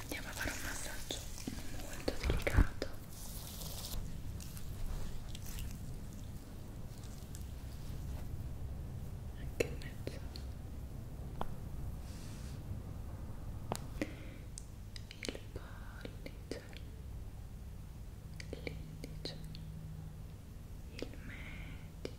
andiamo a fare un massaggio molto delicato anche in mezzo il pollice l'indice il medio il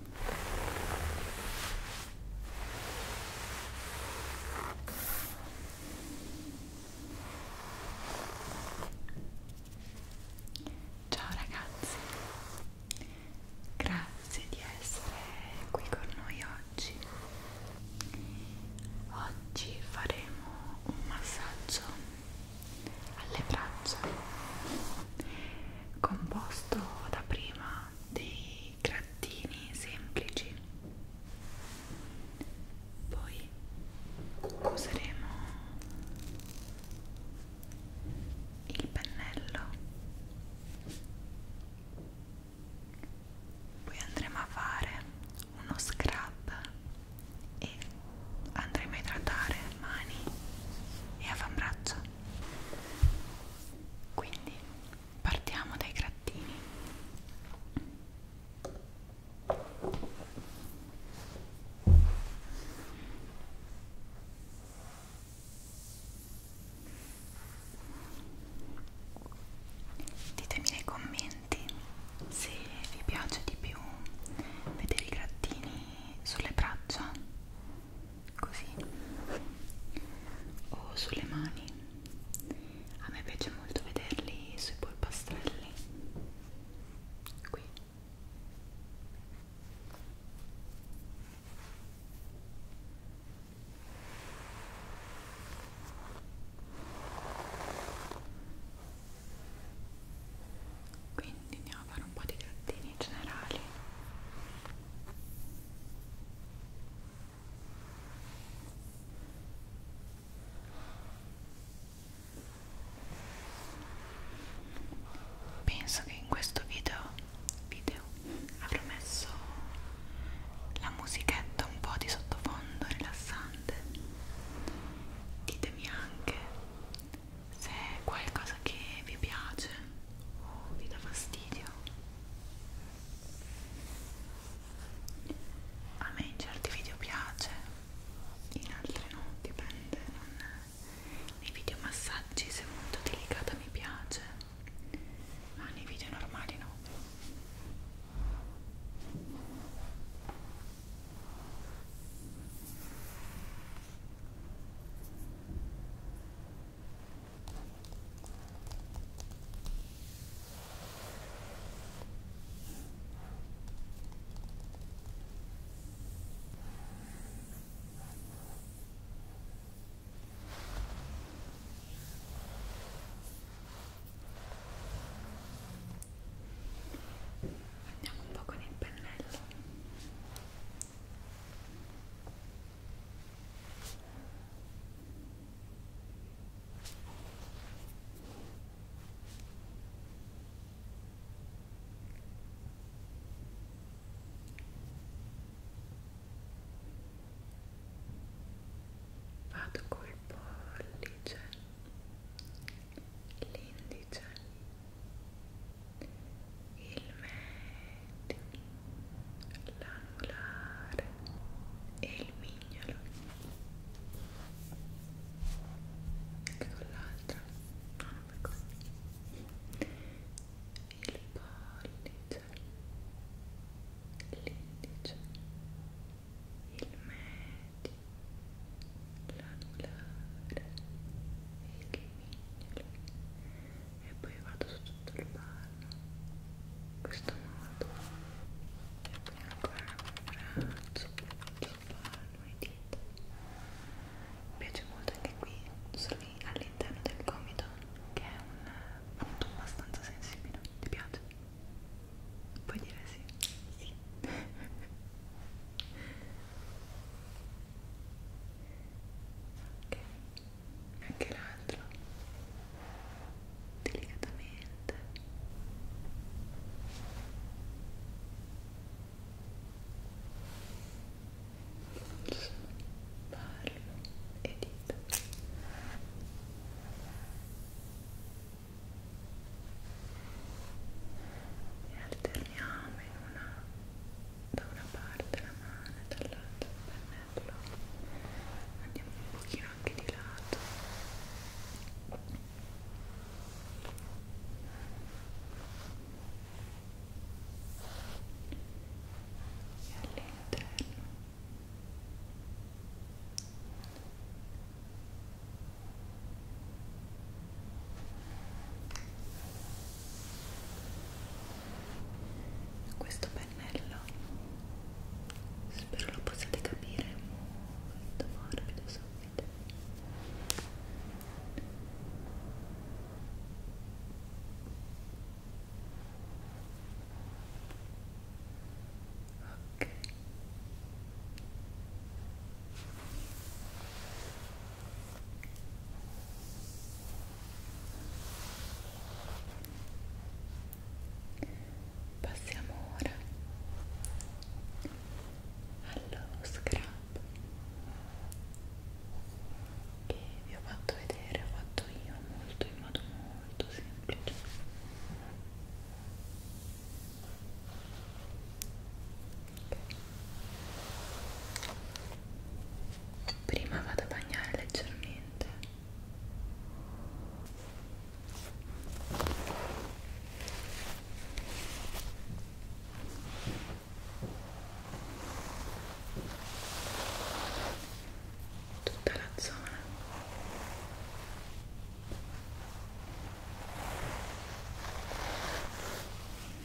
Ciao ragazzi, grazie di essere qui con noi oggi. Oggi faremo un massaggio alle braccia composto da prima dei dei grattini semplici poi useremo il pennello poi andremo a fare uno scrub e andremo a idratare mani e avambraccia quindi partiamo dai grattini ditemi nei commenti se vi piace di più vedere i grattini sulle braccia così o sulle mani a me piace molto vederli sui polpastrelli qui quindi andiamo a fare un po' di grattini generali Penso che in questo video, video avrò messo la musichetta un po' di sottofondo rilassante. Ditemi anche se è qualcosa che vi piace o oh, vi dà fastidio a me in certi video piace in altri no dipende non nei video massaggi se è molto delicata mi piace ma nei video normali no Andiamo un po' con il pennello. Vado col pollice, l'indice, il medio, l'anulare e il mignolo anche con l'altra no, non per così il pollice l'indice il medio l'anulare e il mignolo e poi vado su tutto il palmo in questo modo e poi ancora un braccio sul palmo e dita mi piace molto anche qui all'interno del gomito che è un punto abbastanza sensibile ti piace? puoi dire sì? sì ok anche l'altro delicatamente palmo e dito e alterniamo in una da una parte la mano e dall'altra il pennello andiamo un pochino anche di lato e all'interno e questo pennello spero lo possiate capire molto morbido subito ok Passiamo ora allo scrub che vi ho fatto vedere, ho fatto io molto in modo molto semplice. Okay prima vado a bagnare leggermente tutta la zona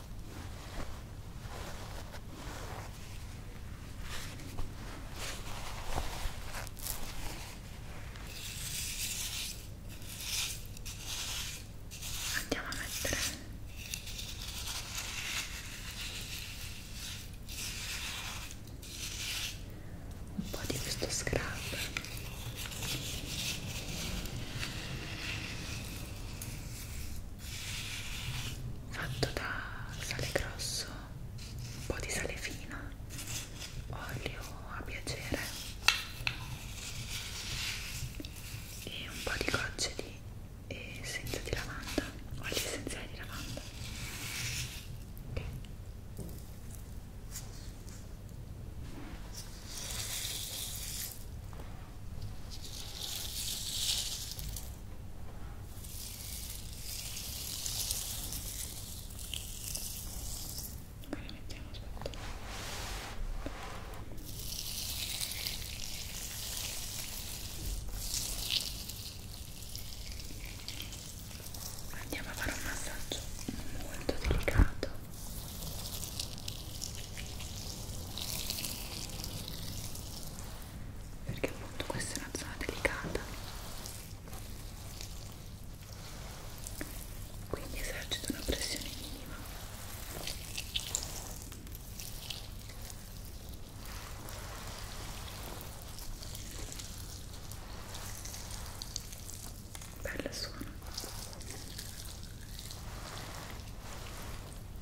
andiamo a mettere un po' di questo scrub fatto da sale grosso, un po' di sale fino, olio a piacere e un po' di gocce di essenza di lavanda, olio essenziale di lavanda. Okay. Poi le mettiamo, aspetta. Andiamo a fare un massaggio molto delicato perché appunto questa è una zona delicata quindi esercito una pressione minima Bella suono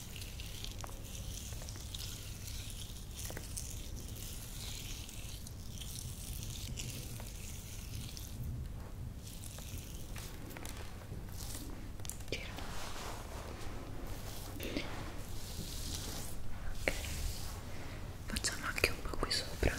Giro. Okay. Facciamo anche un po' qui sopra.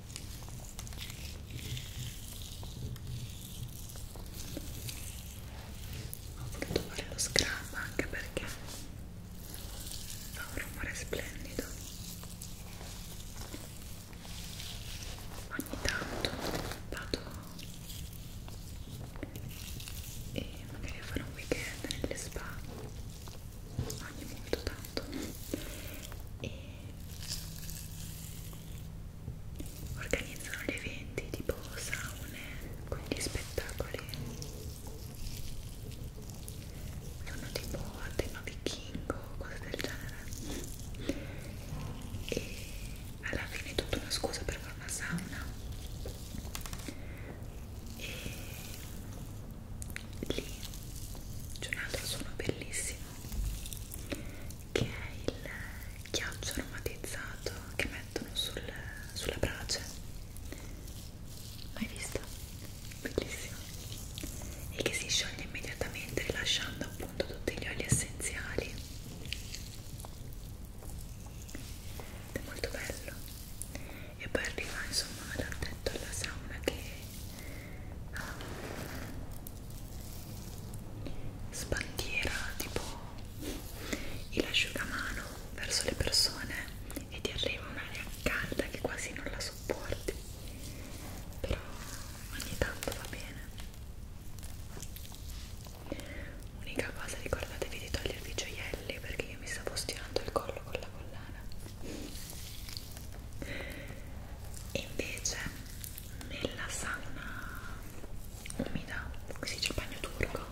ho voluto fare lo scrub anche perché fa un rumore splendido ogni tanto vado e magari a fare un weekend nelle spa ogni molto tanto e organizzano gli eventi tipo saune, quindi spettacoli sono tipo a tema vichingo, cose del genere e alla fine è tutta una scusa per fare una sauna e lì c'è un altro suono bellissimo che è il ghiaccio aromatizzato che mettono sul, sulla brace l'hai visto? bellissimo e che si scioglie immediatamente rilasciando appunto tutti gli oli essenziali ed è molto bello e poi arriva insomma l'ho detto alla sauna che um, sbandiera tipo il asciugamano verso le persone e ti arriva un'aria calda che quasi non la sopporti però ogni tanto va bene unica cosa ricordatevi di togliervi i gioielli perché io mi stavo stirando il collo con la collana e invece nella sauna umida, così c'è il bagno turco,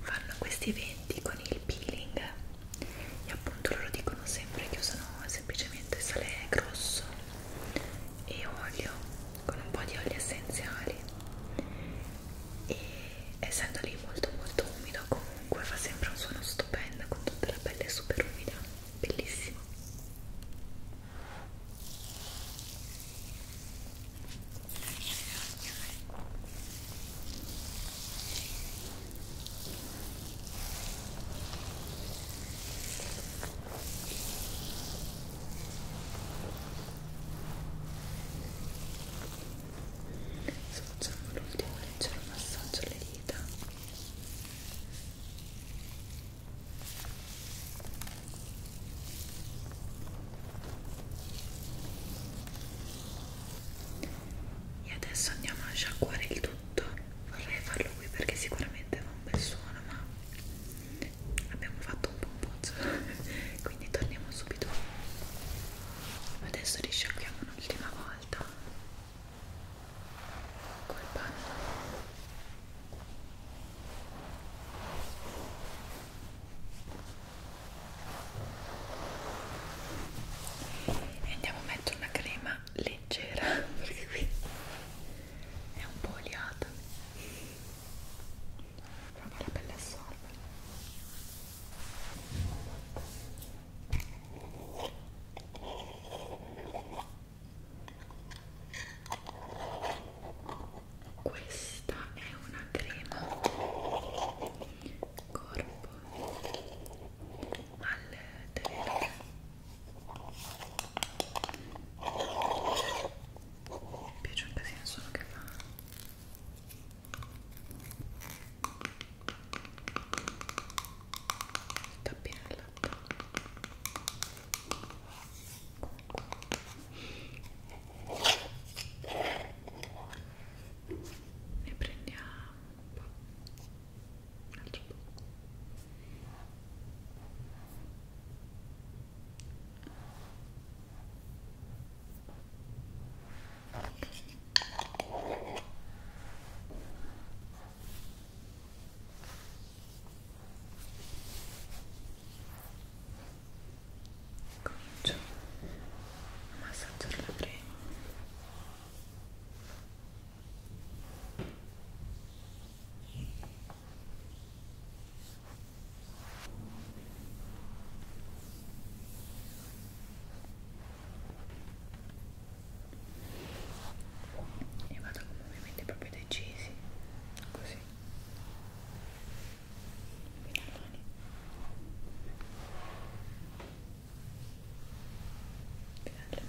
fanno questi eventi con il peeling e appunto loro dicono sempre che usano semplicemente sale grosso e olio, con un po' di oli essenziali e essendo lì molto molto umido comunque fa sempre un suono stupendo con tutta la pelle super umida bellissimo Sto facendo l'ultimo leggero massaggio alle dita e adesso andiamo a sciacquare il tutto vorrei farlo qui perché sicuramente fa un bel suono ma abbiamo fatto un po' un pozzo quindi torniamo subito adesso risciacquiamo un'ultima volta col panno e andiamo a mettere una crema leggera perché qui è un po' oliata ma la pelle assorbe questa è una crema corpo al terreno mi piace un casino solo che fa il tappinello ne prendiamo un po', un altro po'. Okay comincio a massaggiare la crema e vado con movimenti proprio decisi così fino alle mani fino alle mani Ecco.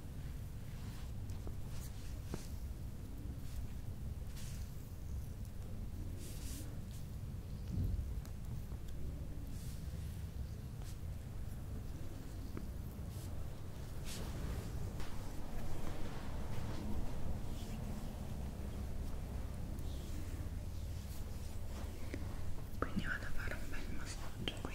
Quindi vado a fare un bel massaggio qui.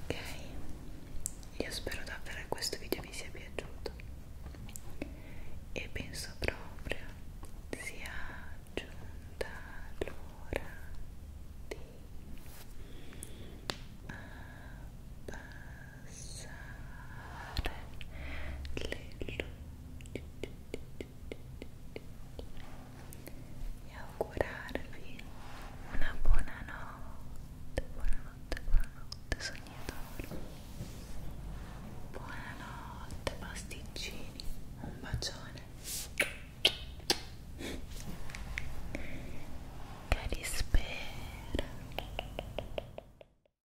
Ok, io spero davvero che questo video vi sia piaciuto e penso proprio sia giunta l'ora di abbassare le luci e augurarvi una buona notte, buonanotte, buonanotte sognatori buonanotte pasticcini, un bacione che rispera